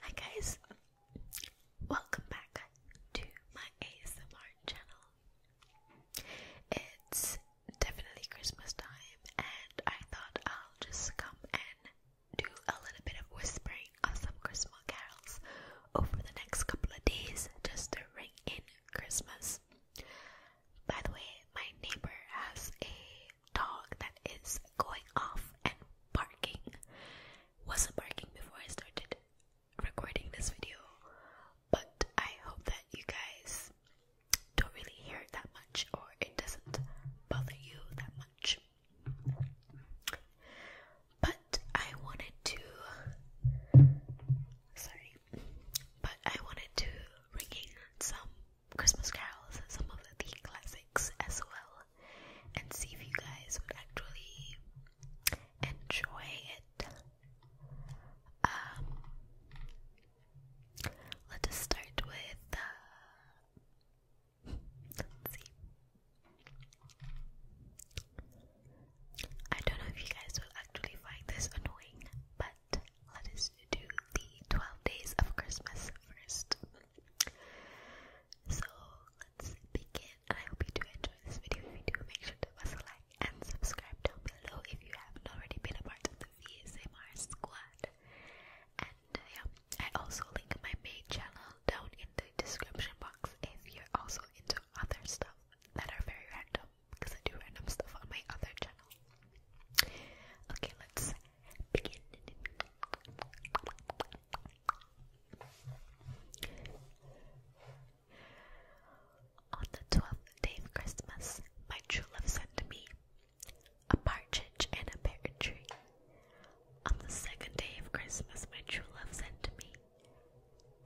Hi guys, welcome back to my ASMR channel. It's definitely Christmas time, and I thought I'll just come and do a little bit of whispering of some Christmas carols over the next couple of days just to ring in Christmas. By the way, my neighbor has a dog that is going off and barking. Wasn't barking before I started recording this video, but I hope that you guys don't really hear that much or it doesn't bother you that much. But I wanted to. Sorry. But I wanted to bring some Christmas carols and some of the classics as well and see if you guys would actually enjoy it. Um, let us start with. Uh, I don't know if you guys will actually find this annoying, but let us do the 12 days of Christmas first. So let's begin. I hope you do enjoy this video. If you do, make sure to press like and subscribe down below if you haven't already been a part of the VSMR squad. And uh, yeah, I also link my main channel down in the description box if you're also into other stuff that are very random because I do random stuff on my other channel. Okay, let's begin. On the twelfth day of Christmas, my true love sent me a partridge and a pear tree. On the second day of Christmas, my true love sent to me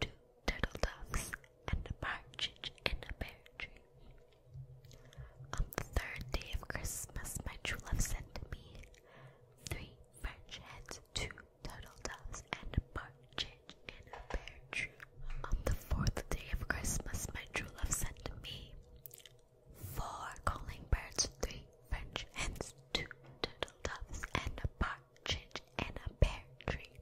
two turtle doves and a partridge and a pear tree. On the third day of Christmas, my true love sent to me three French hens, two turtle doves, and a partridge in a pear tree. On the fourth day of Christmas, my true love sent me four calling birds, three French hens, two turtle doves, and a partridge in a pear tree.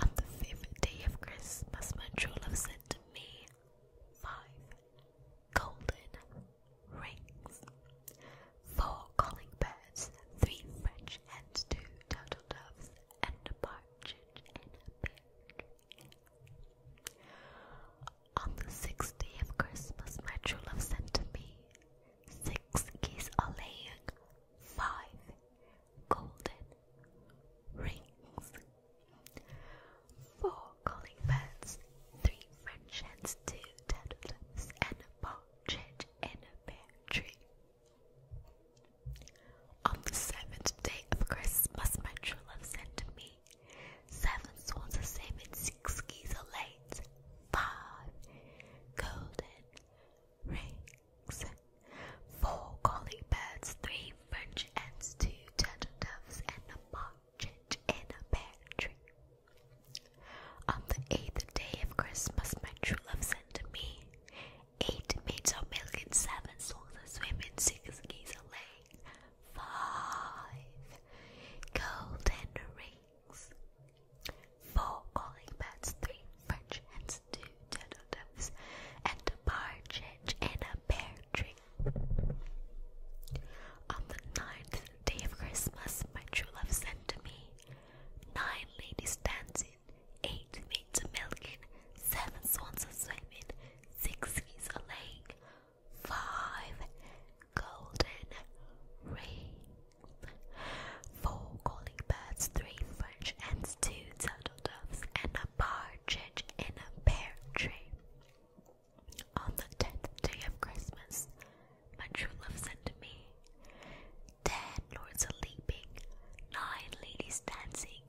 On the fifth day of Christmas, my true love sent to me Five golden rings. Four calling birds, three French hens, two turtle doves, and a partridge in a pear tree. On the sixth of Christmas, my true love sent to me six geese a laying, five golden rings. 4 calling birds, 3 French hens, 2 turtle turtles, and a partridge in a pear tree. On the seventh day of Christmas, my true love sent to me seven swans the same six geese late, five golden rings four calling birds, three French hens, two turtle doves, and a partridge in a pear tree. On the eighth day of Christmas, my true love sent to me eight maids of milk and seven swans that swim in six geese a laying, five golden rings, four calling birds, three French hens, two turtle doves, and a partridge in a pear tree. On the ninth day of Christmas, my true love sent to me nine ladies dancing, eight maids a milking, seven swans a swimming, six geese a laying, five golden rings, four calling birds, three French hens, two turtle doves, and partridge in a pear tree. On the tenth day of Christmas, my true love sent to me, Ten lords are leaping, nine ladies dancing,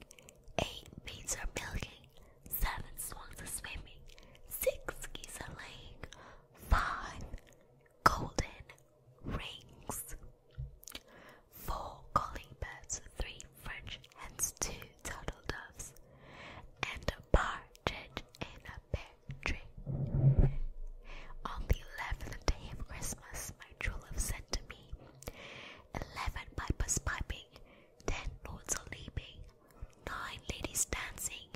eight maids are milking, seven swans are swimming, six geese are laying, five golden rings, four calling birds, three French hence two turtledoves, and a partridge in a pear tree. On the eleventh day of Christmas, my true love said to me, Eleven pipers piping, ten lords a leaping, nine ladies dancing,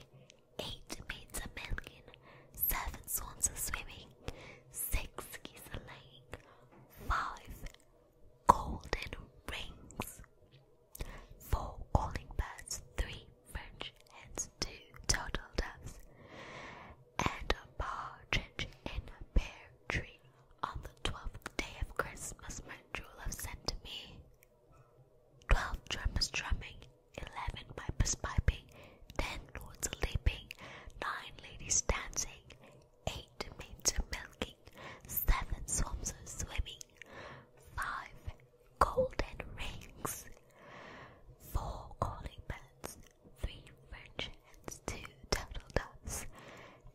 eight maids a milking, seven swans a swimming, six geese a laying, five golden rings. Four calling birds, three French hens, two turtle doves, and a partridge in a pear tree. On the twelfth day of Christmas, my true love sent to me twelve drummers drumming, eleven pipers piping, ten lords a leaping, nine ladies dancing, eight maids are milking, seven swans are swimming, five golden rings, four calling birds, three French hens, two turtle doves,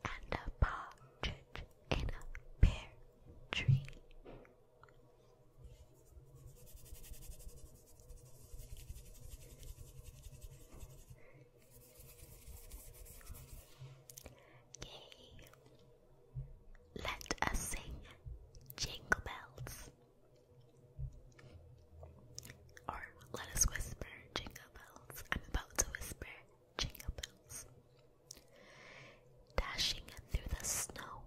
and a partridge in a pear tree. Let us sing Jingle Bells. Or let us whisper Jingle Bells. I'm about to whisper Jingle Bells. Dashing through the snow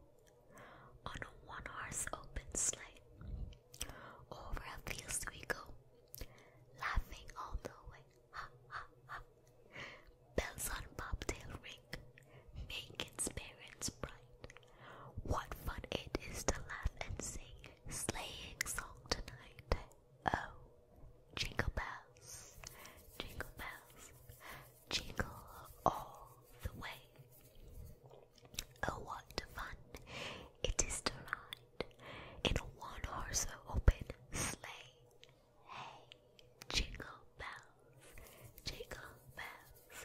on a one horse open sleigh. Over a field we go, laughing all the way. Ha ha ha Bells on bobtail ring, make its parents bright. What fun it is to laugh and sing, sleighing song tonight. Oh, jingle bells, jingle bells, jingle all the way. Oh, what fun it is to ride in a one horse open sleigh. Hey, jingle bells, jingle bells,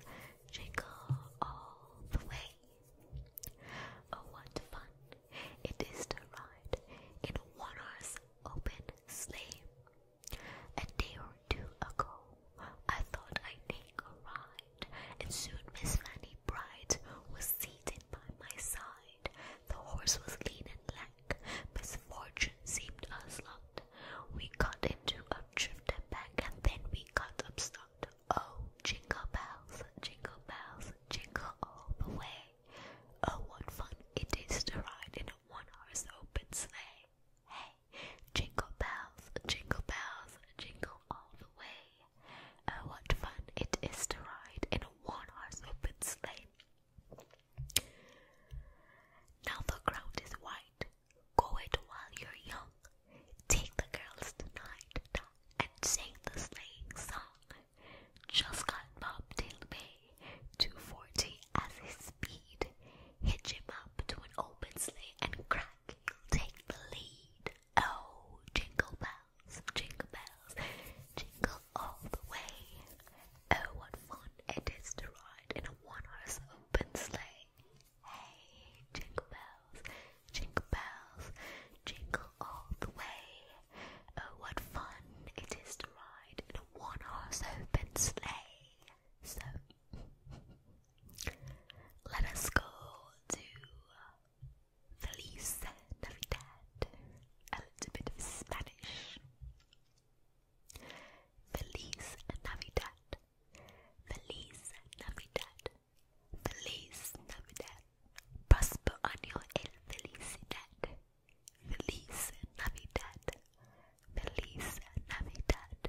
jingle all the way. Oh, what fun it is to ride in a one horse open sleigh. A day or two ago, I thought I'd take a ride, and soon Miss Fanny Bright was seated by my side. The horse was lean and lank. Misfortune seemed us lot. We got into a drift and back, and then we got upstart. Oh, jingle bells, jingle bells, jingle all the way. Oh, what fun it is to ride in a one-horse open sleigh. Hey, jingle bells, jingle bells, jingle all the way. Oh, what fun it is to ride in a one-horse open sleigh. Now the ground is white. Go it while you're young. Take the girls tonight and sing the sleighing song. Just got Bobtail Bay 240 as his speed. Hitch him up to an open sleigh and crack, he'll take the lead. Oh, jingle bells, jingle bells, jingle all the way. Oh, what fun it is to ride in a one-horse open sleigh. Hey, jingle bells, jingle bells, jingle all the way. Oh, what fun it is to ride in a one-horse open sleigh. So, let us go to Feliz Navidad a little bit of Spanish. Feliz Navidad. Feliz Navidad. Feliz Navidad. Próspero año el felicidad. Feliz Navidad. Feliz Navidad.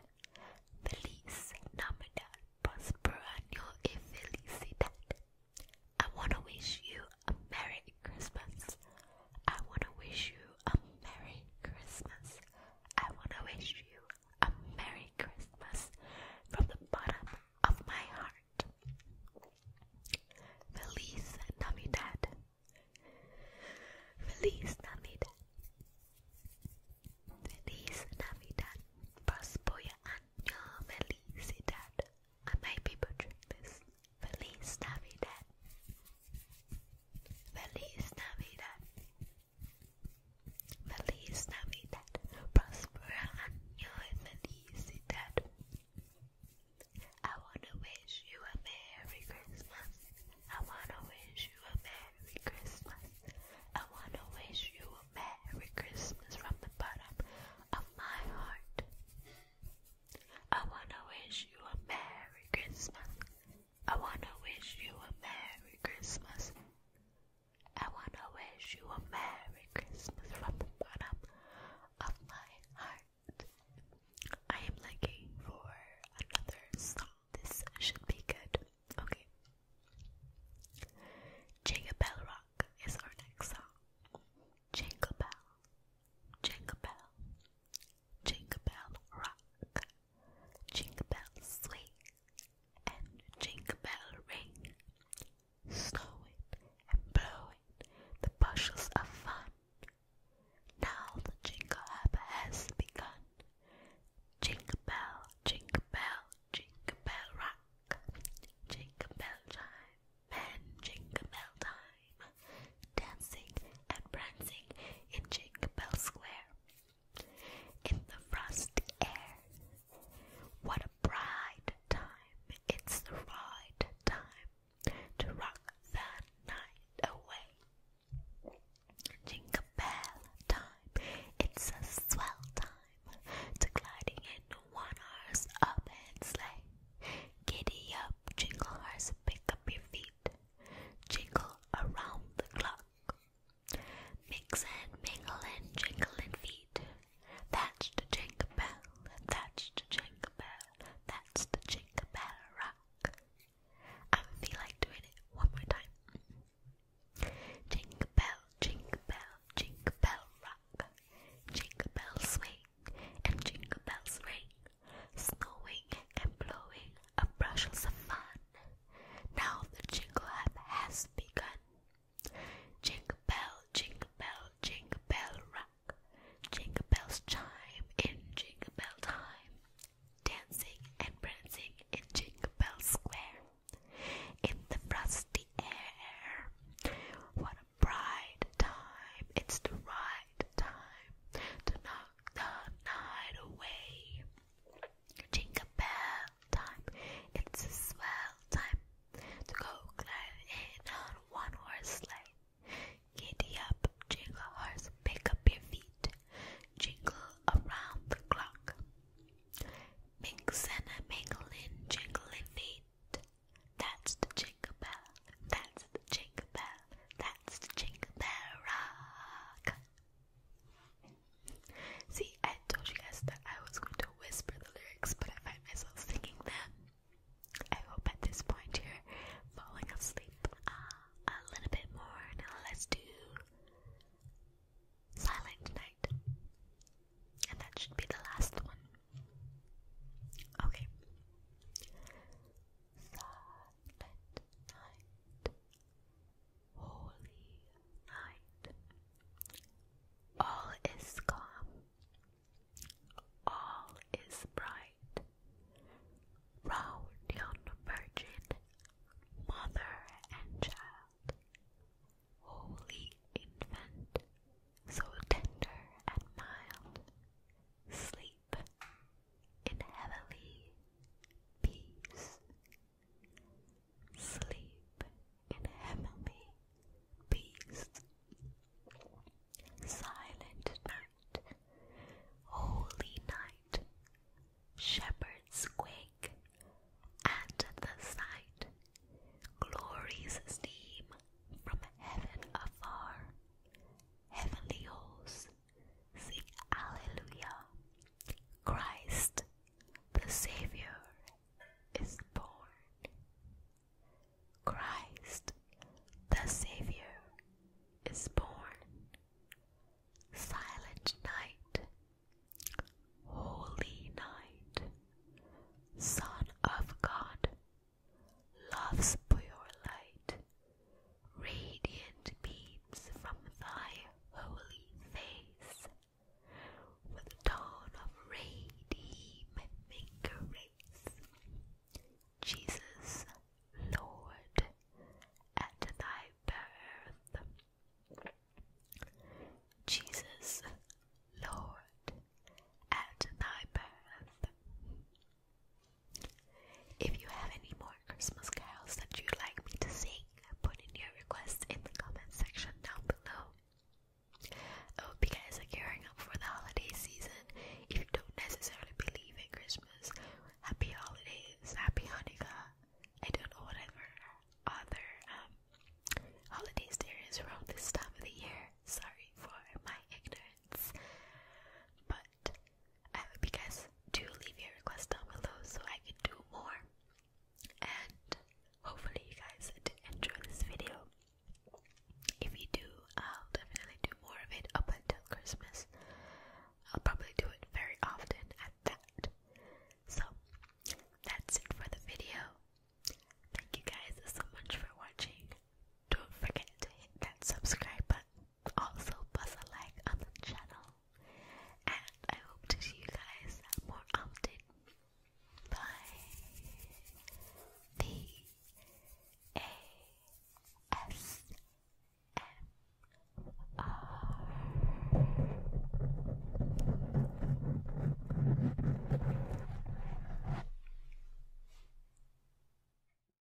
Feliz Navidad. Próspero año y felicidad. I want to wish you a Merry Christmas. I want to wish you a Merry Christmas. I want to wish you a Merry Christmas from the bottom of my heart. Feliz Navidad. Feliz Navidad. Feliz Navidad. Prospoya año felicidad. I might be butchering this. Feliz Navidad. Feliz Navidad. Feliz Navidad. Prospera año y felicidad. I wanna wish you a Merry Christmas. I wanna wish you a Merry Christmas. I wanna wish you a Merry Christmas from the bottom of my heart. I wanna wish you a Merry Christmas. I wanna wish you a Merry Christmas. I wanna wish you a Merry Christmas from the bottom of my heart. I am looking for another song. This should be good. Okay. Jingle Bell Rock is our next song. Jingle Bell, Jingle bell, jingle bell rock, jingle bell swing, and jingle bell ring. Snow and blow the bushels are fun. Now the jingle hop has begun. Jingle bell, jingle bell, jingle bell rock, jingle bell chime, men Jingle Bell time, dancing and prancing in Jingle Bell Square. In the frosty air, what a bright time! It's the right time to rock that night away. Jingle Bell time, it's a swell time to gliding in one horse open sleigh. Giddy up, jingle horse, pick up your feet, jingle around the clock. Mix and mingle and jingle and feet. That's the jingle bell, that's the jingle bell, that's the jingle bell rock. I feel like doing it one more time. Jingle bell, jingle bell, jingle bell rock. Jingle bell swing, and jingle bells ring, snowing and blowing a bushels of fun. Now the jingle hop has begun. Jingle bell, jingle bell, jingle bell rock. Jingle bells chime in jingle bell time. Dancing and prancing in Jingle Bell Square. In the frosty air bright time, it's the right time to knock the night away. Jingle bell time, it's a swell time to go climbing on one horse sleigh. Get up, jingle horse, pick up your feet, jingle around the clock. Mixin' and mingling, jingling feet. That's the jingle bell, that's that's the jingle bell. That's the jingle bell rock. See, I told you guys that I was going to whisper the lyrics, but I find myself singing them. I hope at this point you're falling asleep uh, a little bit more. Now let's do Silent Night. And that should be the last one. Okay silent night, holy night. All is calm, all is bright. Round yon virgin, mother and child, holy infant, so tender and mild, sleep in heavenly peace. Sleep in heavenly peace. Silent night, holy night, shepherds quake at the sight, glories stream from heaven afar, heavenly hosts Sing Alleluia. Christ, the Savior, is born. Christ, the Savior, is born. Silent night, holy night, Son of God Love's pure light, radiant beams from thy holy face, with dawn of redeeming grace. Jesus, Lord, at thy birth. Jesus, Lord, at thy birth. If you have any more Christmas carols that you'd like me to sing, put in your requests in the comment section down below. I hope you guys gearing up for the holiday season. If you don't necessarily believe in Christmas, happy holidays, happy Hanukkah. I don't know whatever other um, holidays around this time of the year. Sorry for my ignorance. But I hope you guys do leave your requests down below so I can do more. And hopefully you guys did enjoy this video. If you do, I'll definitely do more of it up until Christmas. I'll probably do it very often at that. So that's it for the video. Thank you guys so much for watching. Don't forget to hit that subscribe button also buzz a like on the channel. And I hope to see you guys more often. Bye. The